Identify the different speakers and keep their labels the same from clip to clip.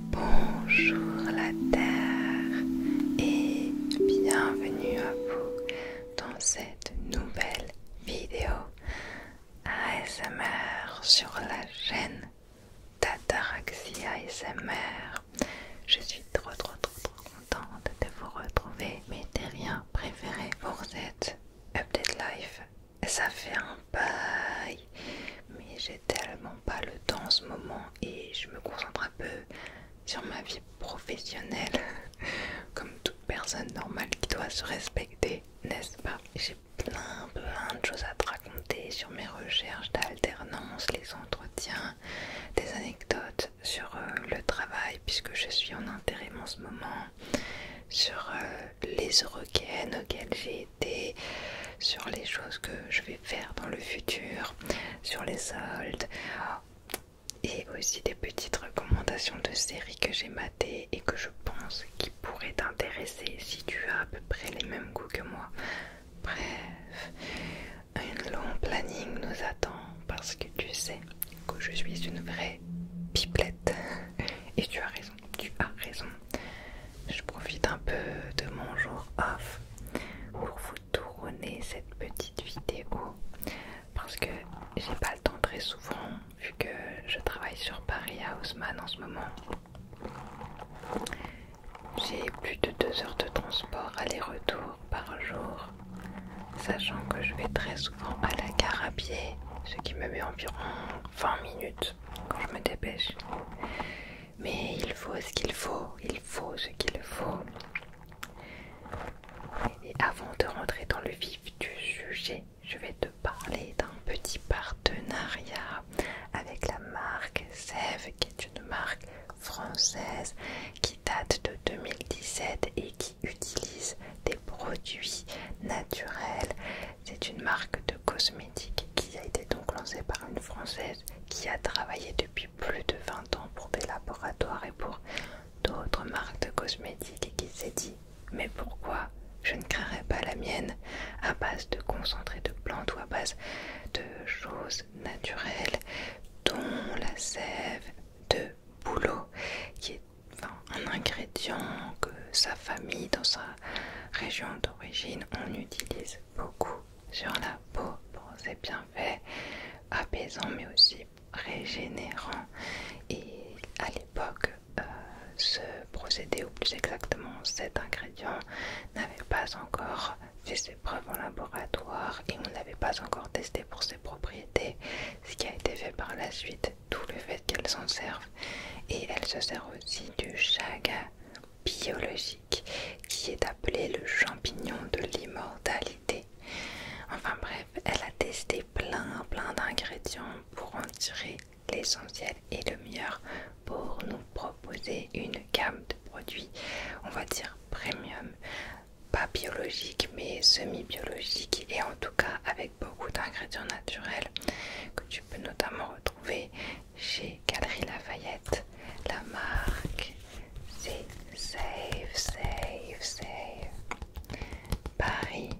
Speaker 1: Bonjour la Terre et bienvenue à vous dans cette nouvelle vidéo ASMR sur la chaîne Tataraxie ASMR. Je suis trop trop trop trop contente de vous retrouver mes terriens préférés pour cette Update Life. Ça fait un bail, mais j'ai tellement pas le temps en ce moment et je me concentre un peu sur ma vie professionnelle comme toute personne normale qui doit se respecter, n'est-ce pas J'ai plein plein de choses à te raconter sur mes recherches d'alternance, les entretiens, des anecdotes sur euh, le travail puisque je suis en intérim en ce moment, sur euh, les requêtes auxquelles j'ai sur les choses que je vais faire dans le futur, sur les soldes et aussi des petites recommandations de séries que j'ai matées et que je pense qui pourraient t'intéresser si tu as à peu près les mêmes goûts que moi. Bref, un long planning nous attend parce que tu sais que je suis une vraie pipelette et tu as raison tu as raison. Je profite un peu de mon jour off pour vous tourner cette petite vidéo parce que j'ai pas le temps très souvent vu que je travaille sur Paris à Haussmann en ce moment. J'ai plus de deux heures de transport aller-retour par jour, sachant que je vais très souvent à la gare à pied, ce qui me met environ 20 minutes quand je me dépêche mais il faut ce qu'il faut, il faut ce qu'il faut. Et avant de rentrer dans le vif du sujet, je vais te parler d'un petit partenariat avec la marque Sève, qui est une marque française qui date de 2017 et qui utilise des produits naturels c'est une marque de cosmétiques qui a été donc lancée par une Française qui a travaillé depuis plus de 20 ans pour des laboratoires et pour d'autres marques de cosmétiques et qui s'est dit mais pourquoi je ne créerais pas la mienne à base de concentré de plantes ou à base de choses naturelles dont la sève de bouleau qui est un ingrédient que sa famille dans sa région d'origine on utilise beaucoup sur la peau pour ses bienfaits apaisants mais aussi régénérants. Et à l'époque, euh, ce procédé, ou plus exactement cet ingrédient, n'avait pas encore fait ses preuves en laboratoire et on n'avait pas encore testé pour ses propriétés, ce qui a été fait par la suite, tout le fait qu'elle s'en serve. Et elle se sert aussi du chaga biologique qui est appelé le champignon de l'immortalité. Enfin bref, elle a testé plein plein d'ingrédients pour en tirer l'essentiel et le meilleur pour nous proposer une gamme de produits, on va dire premium, pas biologique mais semi-biologique et en tout cas avec beaucoup d'ingrédients naturels que tu peux notamment retrouver chez Galerie Lafayette. La marque, c'est Save, Save, Save. Paris.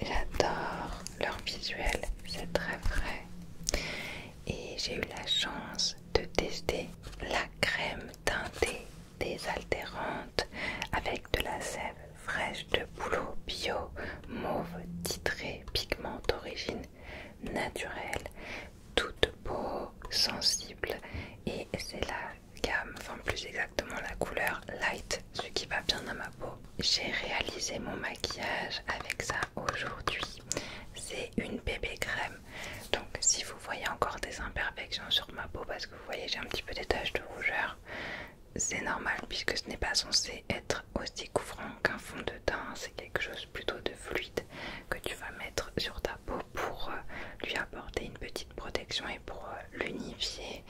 Speaker 1: J'adore leur visuel, c'est très frais. Et j'ai eu la chance de tester la crème teintée désaltérante avec de la sève fraîche de boulot bio mauve titré, pigment d'origine naturelle, toute peau sensible et c'est la gamme, enfin plus exactement la couleur light, ce qui va bien dans ma peau. J'ai réalisé mon maquillage avec ça aujourd'hui, c'est une bébé crème. Donc si vous voyez encore des imperfections sur ma peau parce que vous voyez j'ai un petit peu des taches de rougeur, c'est normal puisque ce n'est pas censé être aussi couvrant qu'un fond de teint, c'est quelque chose plutôt de fluide que tu vas mettre sur ta peau pour euh, lui apporter une petite protection et pour euh, l'unifier,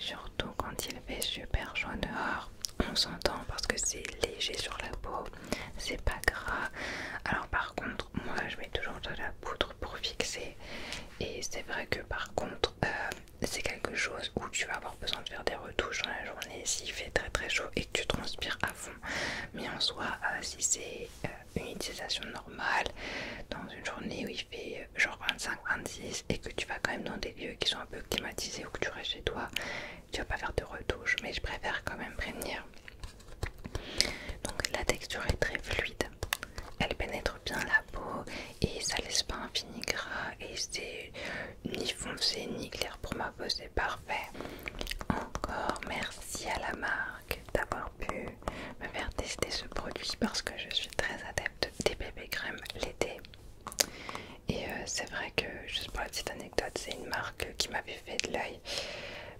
Speaker 1: surtout quand il fait super chaud dehors. On s'entend parce que c'est léger sur la peau, c'est pas gras. Alors, par contre, moi je mets toujours de la poudre pour fixer, et c'est vrai que par contre, euh, c'est quelque chose où tu vas avoir besoin de faire des retouches dans la journée s'il fait très très chaud et que tu transpires à fond. Mais en soi, euh, si c'est euh, une utilisation normale dans une journée où il fait euh, genre 25-26 et que tu vas quand même dans des lieux qui sont un peu climatisés ou que tu restes chez toi, tu vas pas faire de retouches. Mais je préfère quand même prévenir. Donc la texture est très fluide, elle pénètre bien la peau et ça laisse pas un fini gras et c'est ni foncé ni clair pour ma peau, c'est parfait. Encore merci à la marque d'avoir pu me faire tester ce produit parce que je suis très adepte des bébés crèmes l'été. Et euh, c'est vrai que, juste pour la petite anecdote, c'est une marque qui m'avait fait de l'œil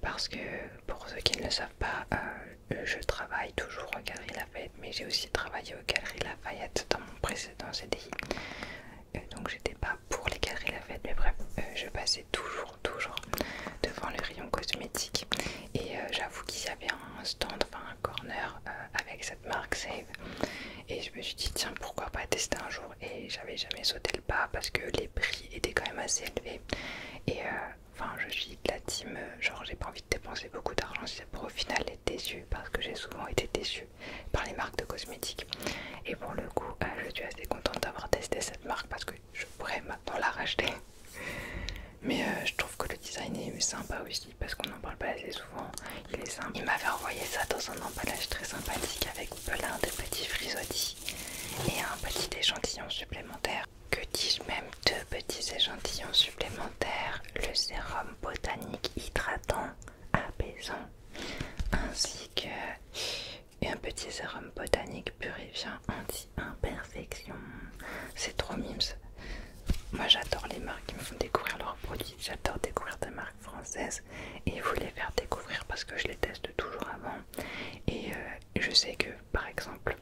Speaker 1: parce que, pour ceux qui ne le savent pas, euh, je travaille toujours au Galerie Lafayette, mais j'ai aussi travaillé au Galerie Lafayette dans mon précédent CDI. Euh, donc j'étais pas pour les galeries Fête. mais bref euh, je passais toujours toujours devant les rayons cosmétiques. et euh, j'avoue qu'il y avait un stand enfin un corner avec cette marque Save et je me suis dit tiens pourquoi pas tester un jour et j'avais jamais sauté le pas parce que les prix étaient quand même assez élevés et enfin je suis de la team genre j'ai pas envie de dépenser beaucoup d'argent si c'est pour au final être déçu parce que j'ai souvent été déçue par les marques de cosmétiques. Et pour le coup, euh, je suis assez contente d'avoir testé cette marque parce que je pourrais maintenant la racheter. Mais euh, je trouve que le design est sympa aussi parce qu'on n'en parle pas assez souvent. Il est simple. Il m'avait envoyé ça dans un emballage très sympathique avec plein de petits frisottis et un petit échantillon supplémentaire. Que dis-je même deux petits échantillons supplémentaires, le sérum botanique hydratant apaisant ainsi que un petit sérum botanique purifiant anti-imperfection. C'est trop mimes. Moi j'adore les marques qui me font découvrir leurs produits, j'adore découvrir des marques françaises et vous les faire découvrir parce que je les teste toujours avant. Et euh, je sais que par exemple,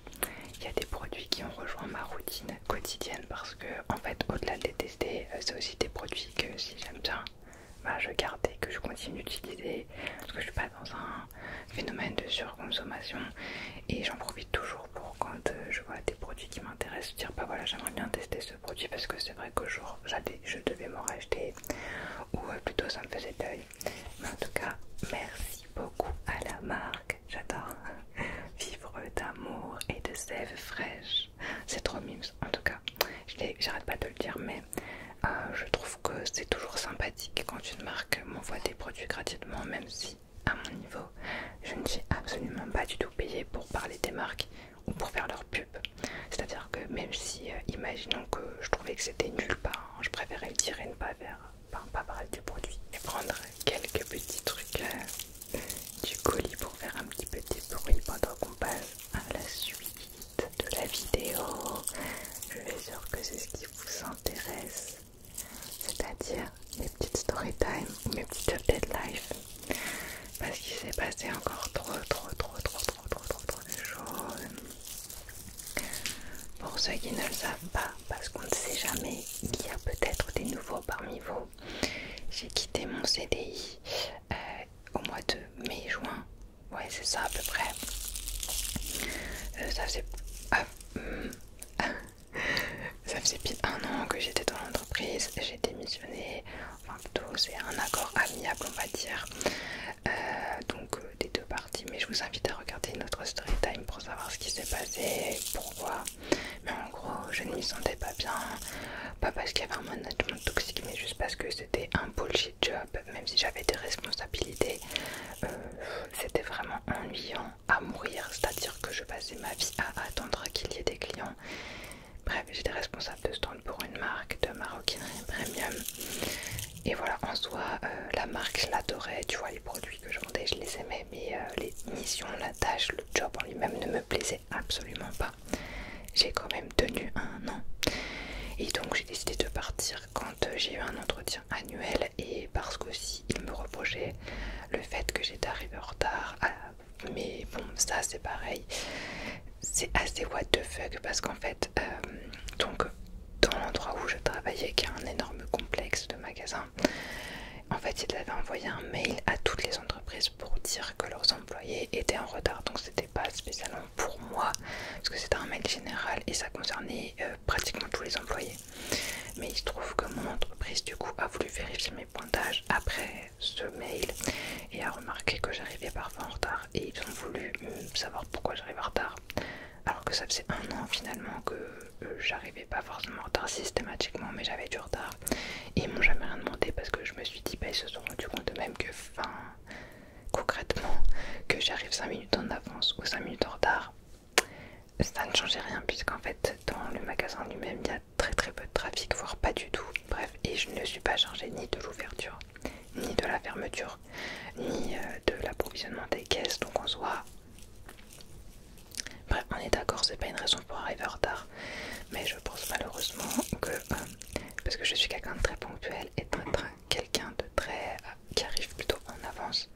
Speaker 1: il y a des produits qui ont rejoint ma routine quotidienne parce que en fait au-delà de les tester, euh, c'est aussi des produits que si j'aime bien, bah, je garde et que je continue d'utiliser parce que je suis pas dans un phénomène de surconsommation et j'en profite toujours pour quand euh, je vois des produits qui m'intéressent, dire bah voilà j'aimerais bien tester ce produit parce que c'est vrai qu'au je devais m'en racheter ou euh, plutôt ça me faisait deuil. Mais en tout cas merci beaucoup à la marque, j'adore vivre d'amour et de sève fraîche c'est trop mimes en tout cas. J'arrête pas de le dire, mais euh, je trouve que c'est toujours sympathique quand une marque m'envoie des produits gratuitement, même si à mon niveau, je ne suis absolument pas du tout payée pour parler des marques ou pour faire leur pub. C'est-à-dire que même si, euh, imaginons que je trouvais que c'était nulle ben, part, je préférais le tirer et ne pas, ben, pas, parler du produit et prendre quelques petits trucs. Euh, du colis pour faire un petit petit bruit pendant qu'on passe à la suite de la vidéo. Je suis sûre que c'est ce qui vous intéresse, c'est-à-dire mes petites story time ou mes petites updates life, Parce qu'il s'est passé encore trop, trop, trop, trop, trop, trop, trop, trop de choses. Pour ceux qui ne le savent pas, parce qu'on ne sait jamais, il y a peut-être des nouveaux parmi vous. J'ai quitté mon CDI euh, au mois de mai-juin. Ouais, c'est ça à peu près. Euh, ça faisait. Ah, hmm. ça faisait plus un an que j'étais dans l'entreprise, j'ai démissionné, enfin plutôt c'est un accord amiable on va dire, euh, donc des deux parties, mais je vous invite à regarder notre story time pour savoir ce qui s'est passé, pourquoi, mais en gros, je ne m'y sentais pas bien. Pas parce qu'il y avait un management toxique, mais juste parce que c'était un bullshit job. Même si j'avais des responsabilités, euh, c'était vraiment ennuyant à mourir. C'est-à-dire que je passais ma vie à attendre qu'il y ait des clients. Bref, j'étais responsable de stand pour une marque de maroquinerie premium. Et voilà, en soi, euh, la marque, je l'adorais. Tu vois, les produits que je vendais, je les aimais, mais euh, les missions, la tâche, le job en lui-même ne me plaisait absolument pas. J'ai quand même tenu un an. Et donc j'ai décidé de partir quand j'ai eu un entretien annuel et parce qu'aussi il me reprochait le fait que j'étais arrivée en retard. Ah, mais bon, ça c'est pareil. C'est assez what the fuck parce qu'en fait, euh, donc dans l'endroit où je travaillais, qui a un énorme complexe de magasins, en fait il avait envoyé un mail à toutes les entreprises pour dire que leurs employés étaient en retard. Donc c'était pas spécialement pour moi, parce que c'était un mail général et ça concernait euh, pratiquement tous les employés. Mais il se trouve que mon entreprise du coup a voulu vérifier mes pointages après ce mail et a remarqué que j'arrivais parfois en retard et ils ont voulu euh, savoir pourquoi j'arrive en retard. Alors que ça faisait un an finalement que euh, j'arrivais pas forcément en retard systématiquement mais j'avais du retard et ils m'ont jamais rien demandé parce que je me suis dit bah ils se sont rendu compte de même que fin concrètement que j'arrive 5 minutes en avance ou 5 minutes en retard ça ne changeait rien puisqu'en fait dans le magasin lui-même il y a très très peu de trafic voire pas du tout bref et je ne suis pas chargée ni de l'ouverture ni de la fermeture ni euh, de l'approvisionnement des caisses donc en soi Bref, on est d'accord, c'est pas une raison pour arriver en retard, mais je pense malheureusement que, euh, parce que je suis quelqu'un de très ponctuel et quelqu'un de très euh, qui arrive plutôt en avance,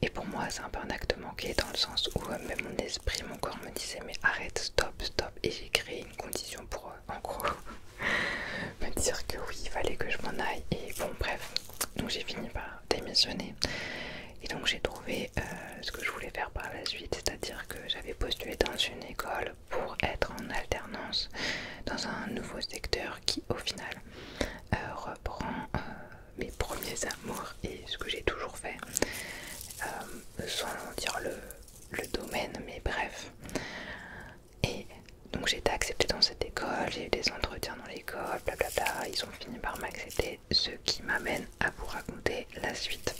Speaker 1: et pour moi c'est un peu un acte manqué dans le sens où euh, même mon esprit, mon corps me disait mais arrête, stop, stop, et j'ai créé une condition pour en gros me dire que oui, il fallait que je m'en aille, et bon bref, donc j'ai fini par démissionner. Et donc j'ai trouvé euh, ce que je voulais faire par la suite, c'est-à-dire que j'avais postulé dans une école pour être en alternance dans un nouveau secteur qui au final euh, reprend euh, mes premiers amours et ce que j'ai toujours fait, sans dire le, le domaine, mais bref. Et donc j'ai été acceptée dans cette école, j'ai eu des entretiens dans l'école, blablabla, ils ont fini par m'accepter ce qui m'amène à vous raconter la suite.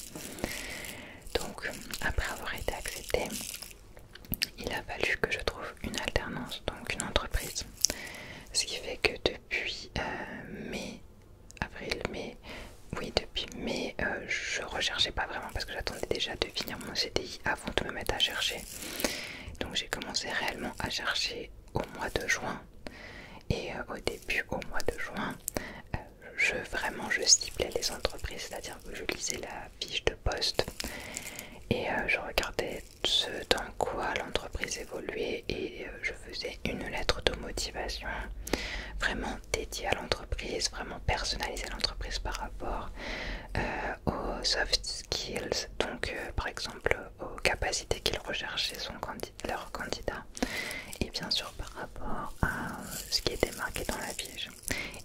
Speaker 1: Donc, après avoir été accepté, il a fallu que je trouve une alternance, donc une entreprise. Ce qui fait que depuis euh, mai, avril, mai, oui, depuis mai, euh, je recherchais pas vraiment parce que j'attendais déjà de finir mon CDI avant de me mettre à chercher. Donc j'ai commencé réellement à chercher au mois de juin. Et euh, au début au mois de juin, euh, je, vraiment je ciblais les entreprises, c'est-à-dire que je lisais la fiche de poste et euh, je regardais ce dans quoi l'entreprise évoluait et euh, je faisais une lettre de motivation vraiment dédiée à l'entreprise, vraiment personnalisée à l'entreprise par rapport aux soft skills, donc par exemple aux capacités qu'il recherche son candidat leur candidats et bien sûr par rapport à euh, ce qui était marqué dans la piège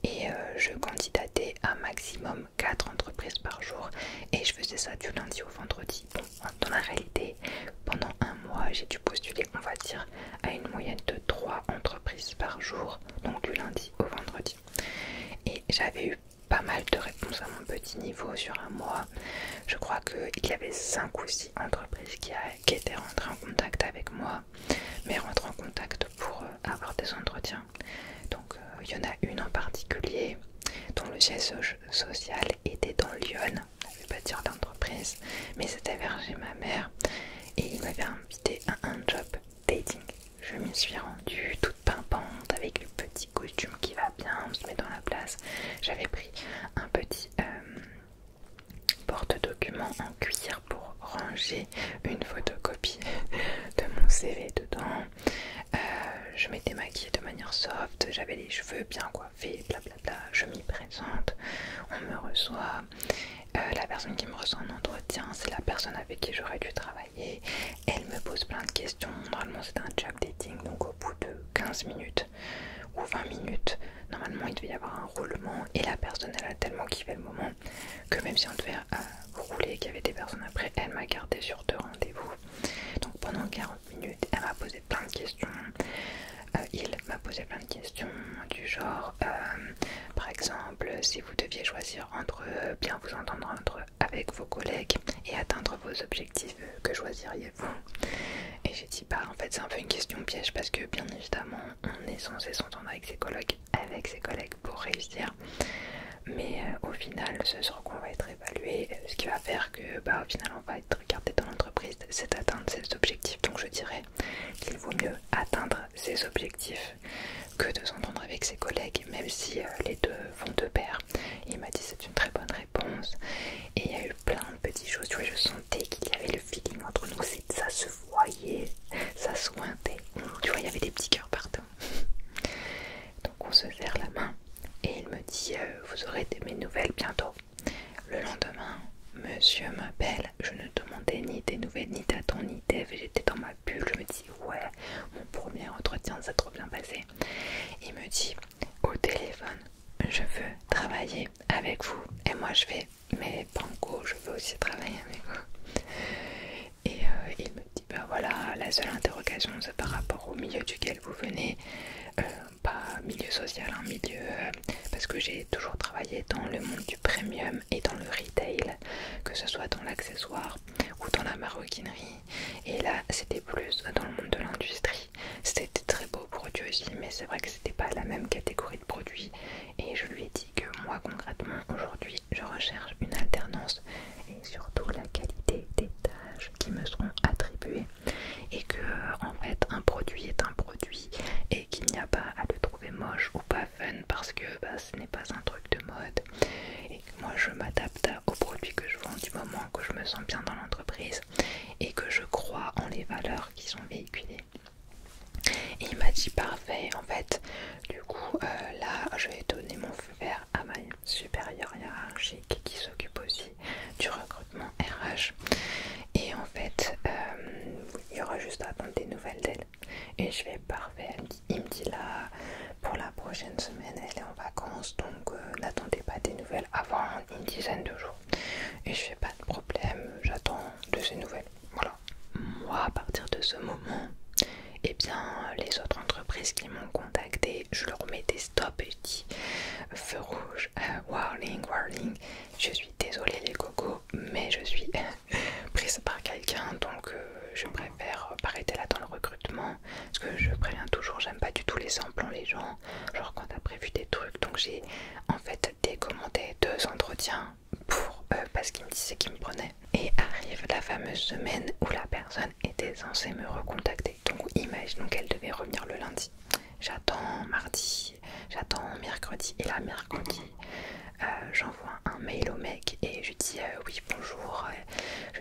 Speaker 1: et euh, je candidatais à maximum 4 entreprises par jour et je faisais ça du lundi au vendredi bon dans la réalité pendant un mois j'ai dû postuler on va dire à une moyenne de 3 entreprises par jour donc du lundi au vendredi et j'avais eu pas mal de réponses à mon petit niveau sur un mois. Je crois qu'il y avait 5 ou 6 entreprises qui qui étaient rentrés en contact avec moi, mais rentrent en contact pour euh, avoir des entretiens. Donc euh, il y en a une en particulier dont le siège social était dans Lyon, je ne vais pas dire d'entreprise mais c'était vers chez ma mère et il m'avait invité à un job dating. Je me suis rendue toute pimpante avec le petit costume qui va bien, on se met dans la place. J'avais pris un petit euh, porte-document en cuir pour ranger une photocopie de mon CV dedans. Euh, je m'étais maquillée de manière soft, j'avais les cheveux bien coiffés, blablabla. Je m'y présente, on me reçoit. Euh, la personne qui me reçoit en entretien, c'est la personne avec qui j'aurais dû travailler. Elle me pose plein de questions. Normalement, c'est un job dating, donc au bout de 15 minutes, ou 20 minutes. Normalement, il devait y avoir un roulement et la personne, elle a tellement kiffé le moment que même si on devait euh, rouler et qu'il y avait des personnes après, elle m'a gardé sur deux rendez-vous. Donc pendant 40 minutes, elle m'a posé plein de questions. Euh, il m'a posé plein de questions du genre, euh, par exemple, si vous deviez choisir entre bien vous entendre entre, avec vos collègues et atteindre vos objectifs, que choisiriez et j'ai dit bah en fait c'est un peu une question piège parce que bien évidemment on est censé s'entendre avec ses collègues, avec ses collègues pour réussir. Mais euh, au final ce sur quoi on va être évalué, ce qui va faire que bah au final on va être regardé dans l'entreprise, c'est d'atteindre ses objectifs. Donc je dirais qu'il vaut mieux atteindre ses objectifs que de s'entendre avec ses collègues, même si euh, les deux vont de pair. Il m'a dit c'est une très bonne et il y a eu plein de petites choses, tu vois, je sentais qu'il y avait le feeling entre nous, ça se voyait, ça sointait, tu vois, il y avait des petits cœurs partout. Donc on se serre la main et il me dit euh, vous aurez des, mes nouvelles bientôt. Le lendemain, monsieur m'appelle, je ne demandais ni des nouvelles, ni ta ni idée j'étais dans ma bulle, je me dis ouais, mon premier entretien ça trop bien passé. Il me dit au téléphone, je veux travailler avec vous et moi je vais mais Banco je veux aussi travailler avec vous et euh, il me dit bah voilà la seule interrogation c'est par rapport au milieu duquel vous venez euh, pas milieu social un hein, milieu euh, parce que j'ai toujours travaillé dans le monde du premium et dans le retail que ce soit dans l'accessoire ou dans la maroquinerie et là c'était plus dans le monde de l'industrie c'était très beau pour produit aussi, mais c'est vrai que c'était pas la même catégorie de produits. Et je lui ai dit que moi, concrètement, aujourd'hui, je recherche une alternance et surtout la qualité des tâches qui me seront attribuées. Et que, euh, en fait, un produit est un produit et qu'il n'y a pas à le trouver moche ou pas fun parce que bah, ce n'est pas un truc de mode. Et que moi, je m'adapte aux produits que je vends du moment que je me sens bien dans l'entreprise et que je crois en les valeurs qui sont véhiculées. Et il m'a dit parfait, en fait, du coup, euh, là, je vais donner mon feu vert à ma supérieure hiérarchique qui s'occupe aussi du recrutement RH. Et en fait, euh, il y aura juste à attendre des nouvelles d'elle. Et je vais parfait, il me dit là, pour la prochaine semaine, elle est en vacances, donc euh, n'attendez pas des nouvelles avant une dizaine de jours et je fais pas de problème, j'attends de ces nouvelles. Voilà. Moi, à partir de ce moment, eh bien, les autres entreprises qui m'ont contacté, je leur mets des stops et je dis feu rouge, euh, whirling, warning, Je suis désolée les cocos, mais je suis prise par quelqu'un, donc euh, je préfère arrêter là dans le recrutement. Parce que je préviens toujours, j'aime pas du tout les en hein, les gens genre quand t'as prévu des trucs. Donc j'ai en fait décommandé deux entretiens pour euh, parce qu'ils me disaient qu'ils me prenait. Et arrive la fameuse semaine où la personne était censée me recontacter. Donc donc elle devait revenir le lundi. J'attends mardi, j'attends mercredi et la mercredi. Euh, j'envoie un mail au mec et je dis euh, oui bonjour,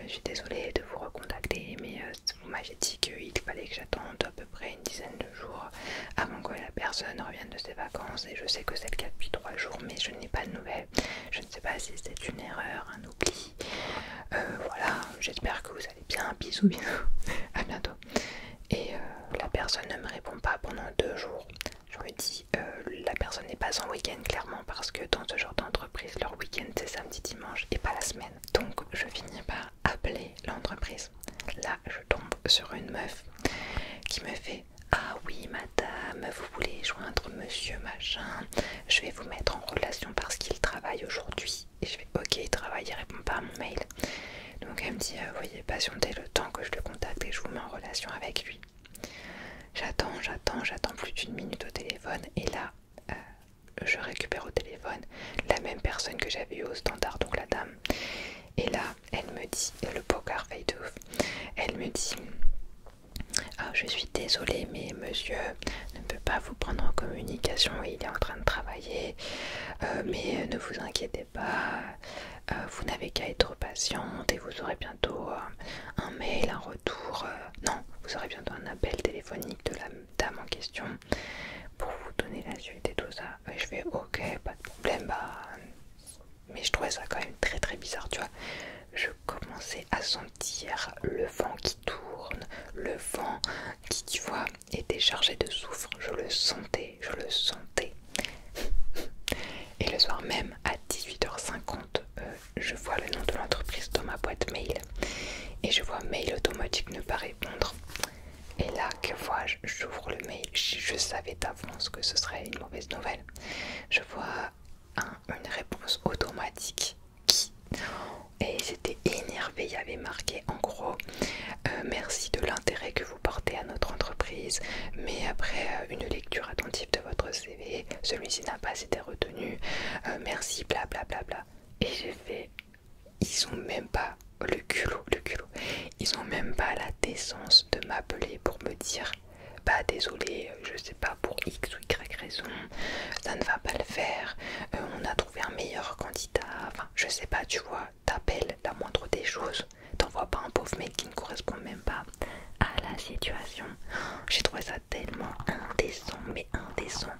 Speaker 1: je suis désolée de vous recontacter mais moi, j'ai dit qu'il fallait que j'attende à peu près une dizaine de jours avant que la personne revienne de ses vacances et je sais que c'est le cas depuis trois jours mais je n'ai pas de nouvelles. Je ne sais pas si c'est une erreur, un oubli. Euh, voilà, j'espère que vous allez bien. Bisous, bisous. à bientôt. Et euh, la personne ne me répond pas pendant deux jours. Je me dis, euh, la personne n'est pas en week-end clairement parce que dans ce genre d'entreprise, leur week-end c'est samedi, dimanche et pas la semaine. Donc je finis par appeler l'entreprise. Là, je tombe sur une meuf qui me fait Ah oui, madame, vous voulez joindre monsieur machin Je vais vous mettre en relation parce qu'il travaille aujourd'hui. Et je fais Ok, il travaille, répond pas à mon mail. Donc elle me dit euh, Voyez, patientez le temps que je le contacte et je vous mets en relation avec lui. J'attends, j'attends, j'attends plus d'une minute au téléphone et là, euh, je récupère au téléphone la même personne que j'avais eu au standard, donc la dame. Et là, elle me dit, le poker fait ouf, elle me dit ah, Je suis désolée, mais monsieur ne peut pas vous prendre en communication, il est en train de travailler, euh, mais ne vous inquiétez pas, euh, vous n'avez qu'à être patiente et vous aurez bientôt euh, un mail, un retour, non, vous aurez bientôt un appel téléphonique de la dame en question pour vous donner la suite et tout ça. je fais ok, pas de problème, bah, Mais je trouvais ça quand même très très bizarre, tu vois. Je commençais à sentir le vent qui tourne, le vent qui, tu vois, était chargé de soufre. Je le sentais, je le sentais. Et le soir même, à 18h50, euh, je vois le nom de l'entreprise dans ma boîte mail. Et je vois Mail Automatique ne paraît et là, que vois-je J'ouvre le mail. Je, savais d'avance que ce serait une mauvaise nouvelle. Je vois une réponse automatique qui. Et j'étais énervée. Il y avait marqué en gros euh, Merci de l'intérêt que vous portez à notre entreprise. Mais après euh, une lecture attentive de votre CV, celui-ci n'a pas été retenu. Euh, merci, bla Bla, bla, bla. Et j'ai fait ils ont même pas le culot, le culot. Ils ont même pas la décence de m'appeler pour me dire bah désolé, je sais pas pour X ou Y raison, ça ne va pas le faire, euh, on a trouvé un meilleur candidat, enfin je sais pas, tu vois, t'appelles la moindre des choses, t'envoies pas un pauvre mec qui ne correspond même pas à la situation. J'ai trouvé ça tellement indécent, mais indécent.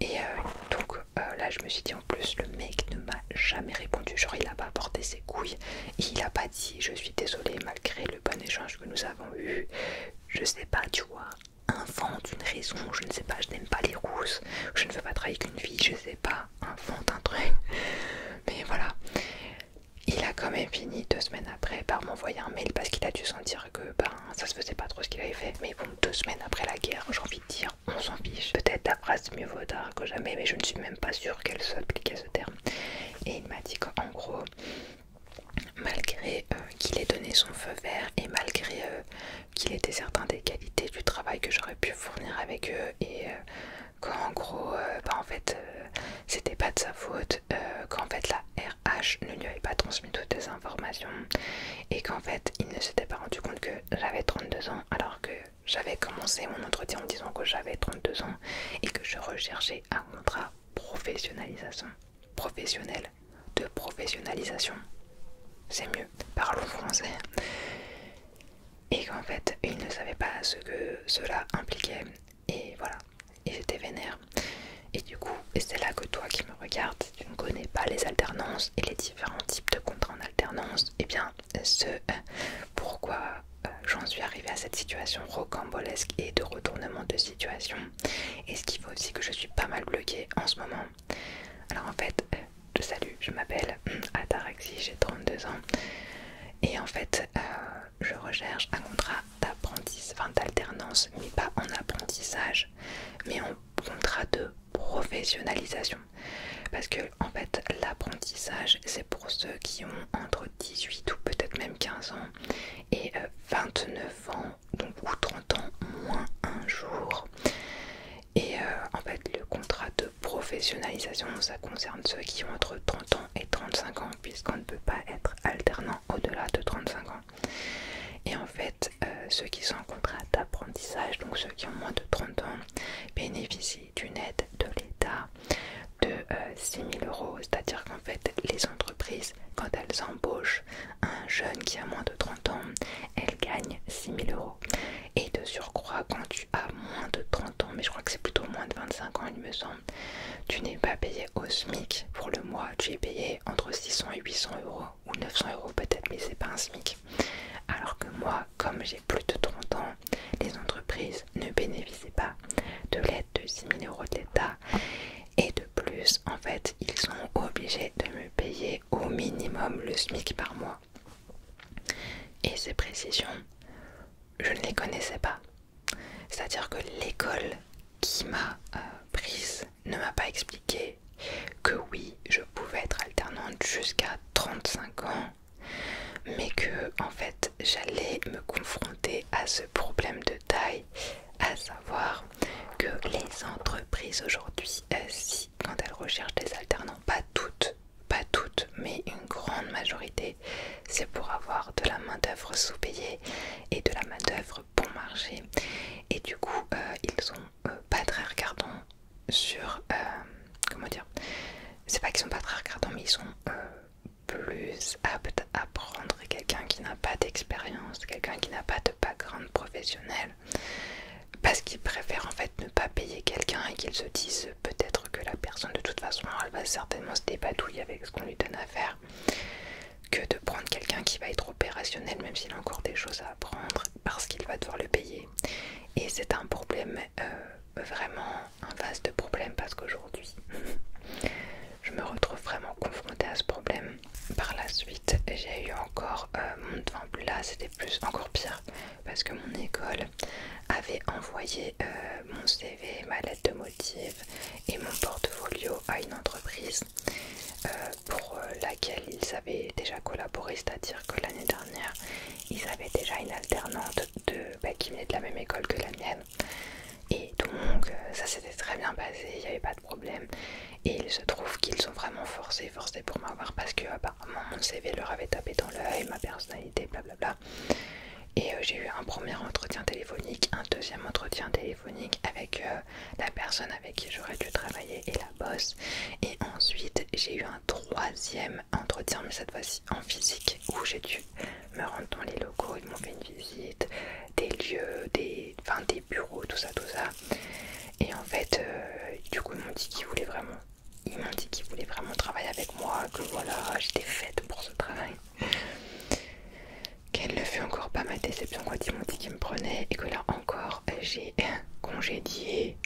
Speaker 1: Et euh, donc euh, là, je me suis dit en plus, le mec ne m'a jamais répondu. Genre, il a pas apporté ses couilles, il a pas dit je suis désolé malgré le bon échange que nous avons eu. Je sais pas, tu vois, invente une raison. Je ne sais pas, je n'aime pas les rousses, je ne veux pas travailler qu'une une fille, je sais pas, invente un truc. Mais voilà, il a quand même fini deux semaines après par m'envoyer un mail parce qu'il a dû sentir que ben, ça se faisait pas trop ce qu'il avait fait. Mais bon, deux semaines après la guerre, j'en dire on s'en fiche. Peut-être la phrase mieux vaut tard que jamais, mais je ne suis même pas sûre qu'elle soit appliquée à ce terme. Et il m'a dit qu'en gros, malgré euh, qu'il ait donné son feu vert et malgré euh, qu'il était certain des qualités du travail que j'aurais pu fournir avec eux et euh, qu'en gros, bah, en fait, c'était pas de sa faute, qu'en fait la RH ne lui avait pas trans toutes ces informations et qu'en fait il ne s'était pas rendu compte que j'avais 32 ans alors que j'avais commencé mon entretien en disant que j'avais 32 ans et que je recherchais un contrat professionnalisation professionnel de professionnalisation c'est mieux parlons français et qu'en fait il ne savait pas ce que cela impliquait et voilà et j'étais vénère et du coup et c'est là que toi qui me regardes tu ne connais pas les alternances et les différents types de contrats en alternance, et eh bien ce euh, pourquoi euh, j'en suis arrivée à cette situation rocambolesque et de retournement de situation. Et ce qui fait aussi que je suis pas mal bloquée en ce moment. Alors en fait, de euh, je salue, je m'appelle hmm, Ataraxi, j'ai 32 ans. Et en fait, je recherche un contrat d'apprentissage, enfin d'alternance, mais pas en apprentissage, mais en contrat de professionnalisation. Parce que en fait l'apprentissage c'est pour ceux qui ont entre 18 ou peut-être même 15 ans et 29 euh, ans donc ou 30 ans moins un jour. Et euh, en fait le contrat de professionnalisation ça concerne ceux qui ont entre 30 ans et 35 ans puisqu'on ne peut pas être alternant au-delà de 35 ans. Et en fait, euh, ceux qui sont en contrat d'apprentissage, donc ceux qui ont moins de 30 ans, bénéficient d'une aide de l'État de 6 euh, euros. C'est-à-dire qu'en fait, les entreprises, quand elles embauchent un jeune qui a moins de 30 ans, elles gagnent 6 000 euros. Et de surcroît, quand tu as moins de 30 ans, mais je crois que c'est plutôt moins de 25 ans, il me semble, tu n'es pas payé au SMIC pour le mois, tu es payé entre 600 et 800 euros ou 900 euros peut-être, mais c'est pas un SMIC. Alors que moi, comme j'ai plus de 30 ans, les entreprises ne bénéficiaient pas de l'aide de 6000 euros de l'État. Et de plus, en fait, ils sont obligés de me payer au minimum le SMIC par mois. Et ces précisions, je ne les connaissais pas. C'est-à-dire que l'école qui m'a euh, prise ne m'a pas expliqué que oui, je pouvais être alternante jusqu'à 35 ans, mais que en fait j'allais me confronter à ce problème de taille, à savoir que les entreprises aujourd'hui, euh, quand elles recherchent des alternants, pas toutes, pas toutes, mais une grande majorité, c'est pour avoir de la main-d'œuvre sous-payée et de la main-d'œuvre bon marché. Et du coup, euh, ils ont pas très regardants sur euh, comment dire c'est pas qu'ils sont pas très regardants mais ils sont euh, plus aptes à prendre quelqu'un qui n'a pas d'expérience quelqu'un qui n'a pas de background professionnel parce qu'ils préfèrent en fait ne pas payer quelqu'un et qu'ils se disent peut-être que la personne de toute façon elle va certainement se débatouiller avec ce qu'on lui donne à faire que de prendre quelqu'un qui va être opérationnel même s'il a encore des choses à apprendre parce qu'il va devoir le payer. Et c'est un problème, euh, vraiment un vaste problème parce qu'aujourd'hui, je me retrouve vraiment confrontée à ce problème. Par la suite, j'ai eu encore euh, mon... devant là, c'était plus encore pire parce que mon école avait envoyé euh, mon CV, ma lettre de motif et mon portfolio à une entreprise euh, pour euh, laquelle ils avaient déjà collaboré, c'est-à-dire que l'année dernière, ils avaient déjà une alternante de, bah, qui venait de la même école que la mienne. Et donc euh, ça s'était très bien passé, il n'y avait pas de problème. Et il se trouve qu'ils sont vraiment forcés, forcés pour m'avoir parce que apparemment mon CV leur avait tapé dans l'œil, ma personnalité, blablabla. Et j'ai eu un premier entretien téléphonique, un deuxième entretien téléphonique avec euh, la personne avec qui j'aurais dû travailler et la bosse. Et ensuite, j'ai eu un troisième entretien, mais cette fois-ci en physique, où j'ai dû me rendre dans les locaux. Ils m'ont fait une visite, des lieux, des, enfin, des bureaux, tout ça, tout ça. Et en fait, euh, du coup, ils m'ont dit qu'ils voulaient vraiment. Ils m'ont dit qu'ils voulaient vraiment travailler avec moi, que voilà, j'étais faite pour ce travail. Qu'elle ne fut encore pas ma déception quand ils m'ont dit qu'ils me prenaient et que là encore j'ai congédié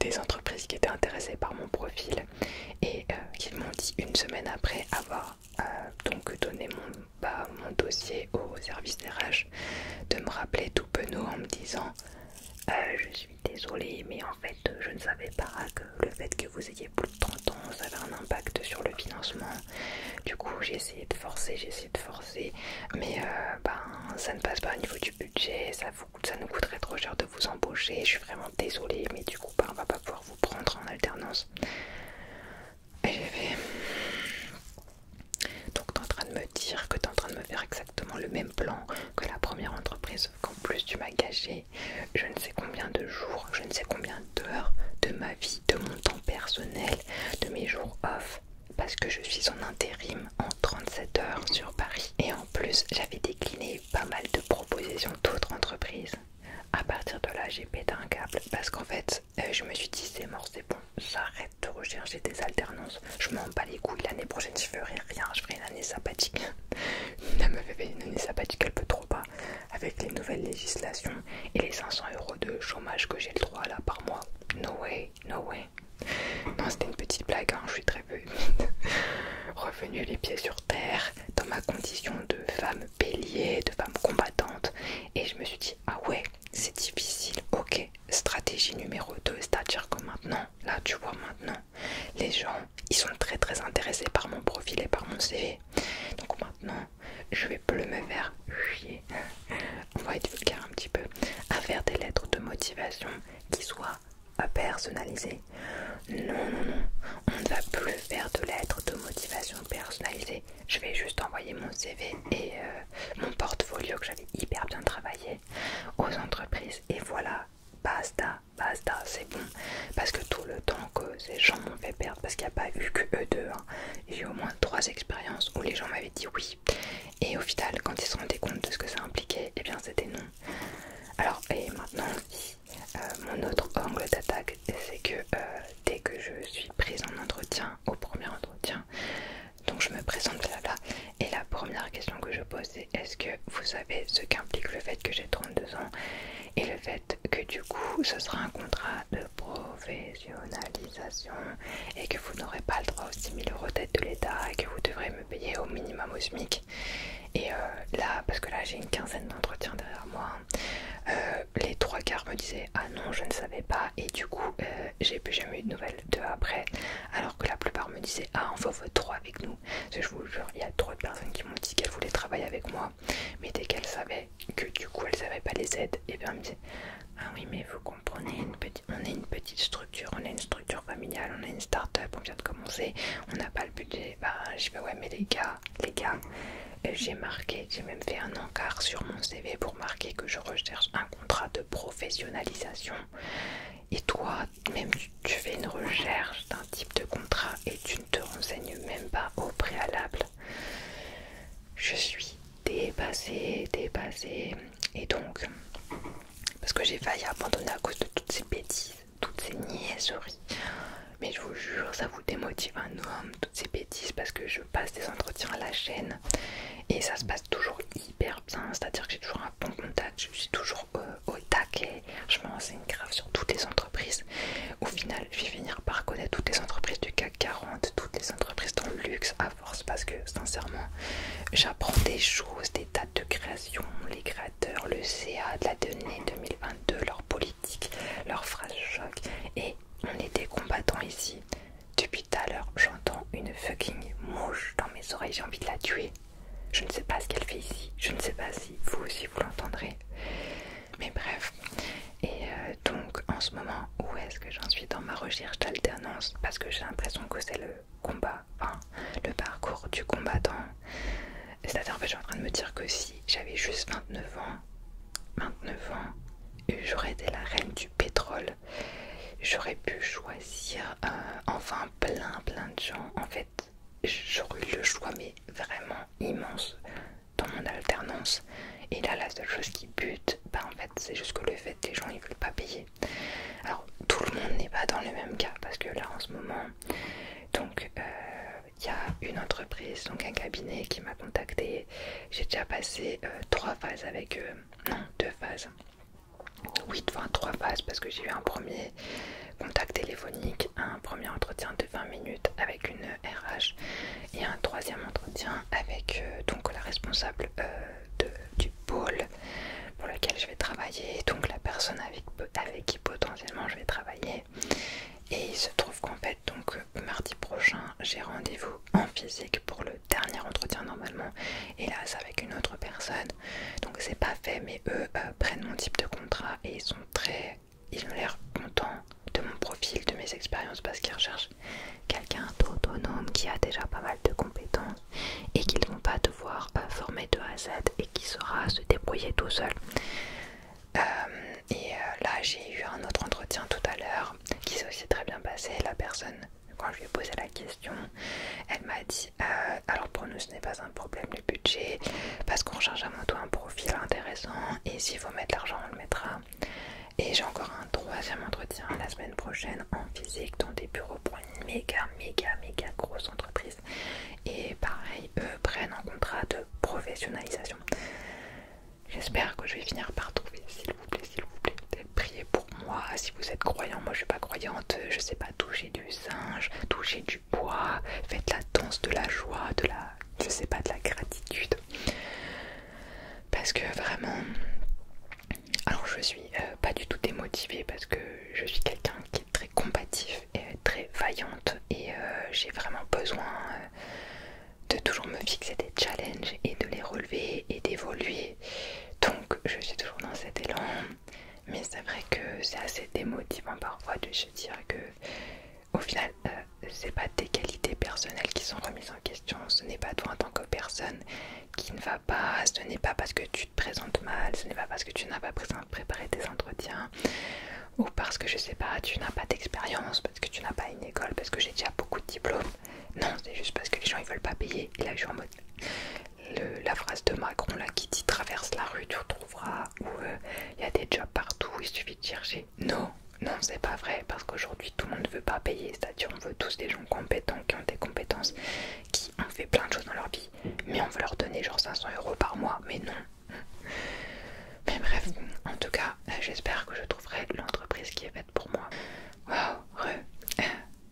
Speaker 1: des entreprises qui étaient intéressées par mon profil et euh, qui m'ont dit une semaine après avoir euh, donc donné bah, mon, dossier au service RH de me rappeler tout penaud en me disant euh, je suis désolée mais en fait je ne savais pas que le fait que vous ayez plus de 30 ans avait un impact sur le financement euh, du coup j'ai essayé de forcer, j'ai essayé de forcer, mais euh, ben, ça ne passe pas au niveau du budget, ça, nous coûterait trop cher de vous embaucher, je suis vraiment désolée, mais du coup ben, on va pas pouvoir vous prendre en alternance. Et j'ai fait... Donc en train de me dire que tu es en train de me faire exactement le même plan que la première entreprise, qu'en plus tu m'as gâché je ne sais combien de jours, je ne sais combien d'heures de ma vie, de mon temps personnel, de mes jours off parce que je suis en intérim en 37 heures sur Paris. Et en plus, j'avais décliné pas mal de propositions d'autres entreprises. À partir de là, j'ai pété un câble parce qu'en fait, euh, je me suis dit c'est mort, c'est bon, j'arrête de rechercher des alternances. Je m'en bats les couilles l'année prochaine, je ferai rien, je ferai une année sympathique. me une année sympathique, elle peut trop pas. Avec les nouvelles législations et les 500 euros de chômage que j'ai le droit là par mois, no way no way. Non, c'était une petite blague, hein, je suis très peu humide. Revenu les pieds sur terre, dans ma condition de femme bélier, de femme combattante, et je me suis dit, ah ouais, c'est difficile, ok. Stratégie numéro 2, c'est-à-dire que maintenant, là tu vois maintenant, les gens, ils sont très très intéressés par mon profil et par mon CV. Donc maintenant, je vais plus me faire chier. On va être vulgaire un petit peu. À faire des lettres de motivation qui soient personnalisées. Non, non, non. On ne va plus faire de lettres de motivation personnalisées. Je vais juste envoyer mon CV et euh, mon portfolio que j'avais hyper bien travaillé aux entreprises. Et voilà, basta, basta, c'est bon. Parce que tout le temps que ces gens m'ont fait perdre, parce qu'il n'y a pas eu que eux deux, hein. j'ai eu au moins trois expériences où les gens m'avaient dit oui, et au final, quand ils se rendaient compte de ce que ça impliquait, eh bien c'était non. Alors, et maintenant, euh, mon autre angle d'attaque, c'est que euh, dès que je suis prise en entretien, au premier entretien, donc je me présente là bas et la première question que je pose, c'est est-ce que vous savez ce qu'implique le fait que j'ai 32 ans et le fait que du coup, ce sera un contrat de professionnalisation et que vous n'aurez pas le droit aux 6 000 euros d'aide de l'État et que vous devrez me payer au minimum au SMIC. Et euh, là, parce que là j'ai une quinzaine d'entretiens derrière moi, euh, les trois quarts me disaient Ah non, je ne savais pas, et du coup, euh, j'ai plus jamais eu de nouvelles de après, alors que la plupart me disaient Ah, on veut trois avec nous. Parce que je vous jure, il y a trop de personnes qui m'ont dit qu'elles voulaient travailler avec moi, mais dès qu'elles savaient, que du coup elles savait pas les aides, et bien elle me dit Ah oui, mais vous comprenez, on est une petite structure, on est une structure familiale, on est une start-up, on vient de commencer, on n'a pas le budget. Bah, je fait Ouais, mais les gars, les gars, euh, j'ai marqué, j'ai même fait un encart sur mon CV pour marquer que je recherche un contrat de professionnalisation. Et toi, même tu fais une recherche d'un type de contrat et tu ne te renseignes même pas au préalable je suis dépassée, dépassée. Et donc, parce que j'ai failli abandonner à cause de toutes ces bêtises, toutes ces niaiseries. Mais je vous jure, ça vous démotive un homme, toutes ces bêtises, parce que je passe des entretiens à la chaîne et ça se passe toujours hyper bien. C'est-à-dire que j'ai toujours un bon contact, je suis toujours euh, au, taquet, je une grave sur toutes les entreprises. Au final, je vais finir par connaître toutes les entreprises du 40, toutes les entreprises dans le luxe à force parce que sincèrement j'apprends des choses, des dates de création, les créateurs, le CA de la donnée 2022, leur politique, leurs phrases choc et on est des combattants ici. Depuis tout à l'heure j'entends une fucking mouche dans mes oreilles, j'ai envie de la tuer. Je ne sais pas ce qu'elle fait ici, je ne sais pas si vous aussi vous l'entendrez. Mais bref, et euh, donc en ce moment, où est-ce que j'en suis dans ma recherche d'alternance Parce que j'ai l'impression que c'est le combat, enfin le parcours du combattant. C'est-à-dire en fait je suis en train de me dire que si j'avais juste 29 ans, 29 ans, j'aurais été la reine du pétrole. J'aurais pu choisir euh, enfin plein plein de gens. En fait, j'aurais eu le choix mais vraiment immense dans mon alternance. Et là la seule chose qui bute bah en fait c'est juste que le fait que les gens ils veulent pas payer. Alors tout le monde n'est pas dans le même cas parce que là en ce moment, donc euh, il y a une entreprise, donc un cabinet qui m'a contacté. J'ai déjà passé euh, trois phases avec eux, non deux phases. Oui, enfin trois phases parce que j'ai eu un premier contact téléphonique, un premier entretien de 20 minutes avec une RH et un troisième entretien avec euh, donc la responsable euh, du pôle pour lequel je vais travailler, donc la personne avec, qui potentiellement je vais travailler. Et il se trouve qu'en fait, donc euh, mardi prochain, j'ai rendez-vous en physique pour le dernier entretien normalement, et là c'est avec une autre personne, donc c'est pas fait, mais eux prennent mon type de contrat et ils sont très. Ils ont l'air contents de mon profil, de mes expériences, parce qu'ils recherchent quelqu'un d'autonome qui a déjà pas mal de compétences et qu'ils ne vont pas devoir euh, former de A à Z et qui saura se débrouiller tout seul. Euh, et euh, là, j'ai eu un autre entretien tout à l'heure qui s'est aussi très bien passé. La personne, quand je lui ai posé la question, elle m'a dit Alors pour nous, ce n'est pas un problème le budget parce qu'on recherche avant tout un profil intéressant et s'il faut mettre l'argent, on le mettra. Et j'ai encore un troisième entretien la semaine prochaine en physique dans des bureaux pour une méga, méga, méga grosse entreprise. Et pareil, eux prennent un contrat de professionnalisation. J'espère que je vais finir par trouver, s'il vous plaît, s'il vous plaît. Priez pour moi si vous êtes croyant. Moi je suis pas croyante, je sais pas, toucher du singe, toucher du bois, faites la danse de la joie, de la, je sais pas, de la gratitude. Parce que vraiment, alors je suis euh, pas du tout démotivée parce que je suis quelqu'un qui est très combatif et très vaillante et euh, j'ai vraiment besoin euh, de toujours me fixer des challenges et de les relever et d'évoluer. Donc je suis toujours dans cet élan. Mais c'est vrai que c'est assez démotivant parfois de se dire que au final c'est pas tes qualités personnelles qui sont remises en question, ce n'est pas toi en tant que personne qui ne va pas, ce n'est pas parce que tu te présentes mal, ce n'est pas parce que tu n'as pas préparé tes entretiens ou parce que je sais pas, tu n'as pas d'expérience, parce que tu n'as pas une école, parce que j'ai déjà beaucoup de diplômes. Non, c'est juste parce que les gens ils veulent pas payer. Et là je en mode la phrase de Macron là qui dit traverse la rue, tu retrouveras où euh, il y a des jobs partout, il suffit de chercher. Non, non, c'est pas vrai, parce qu'aujourd'hui tout le monde ne veut pas payer, c'est-à-dire on veut tous des gens compétents, qui ont des compétences, qui ont fait plein de choses dans leur vie, mais on veut leur donner genre 500 euros par mois, mais non. Mais bref, en tout cas, euh, j'espère que je trouverai l'entreprise qui est faite pour moi. Wow, re. Euh,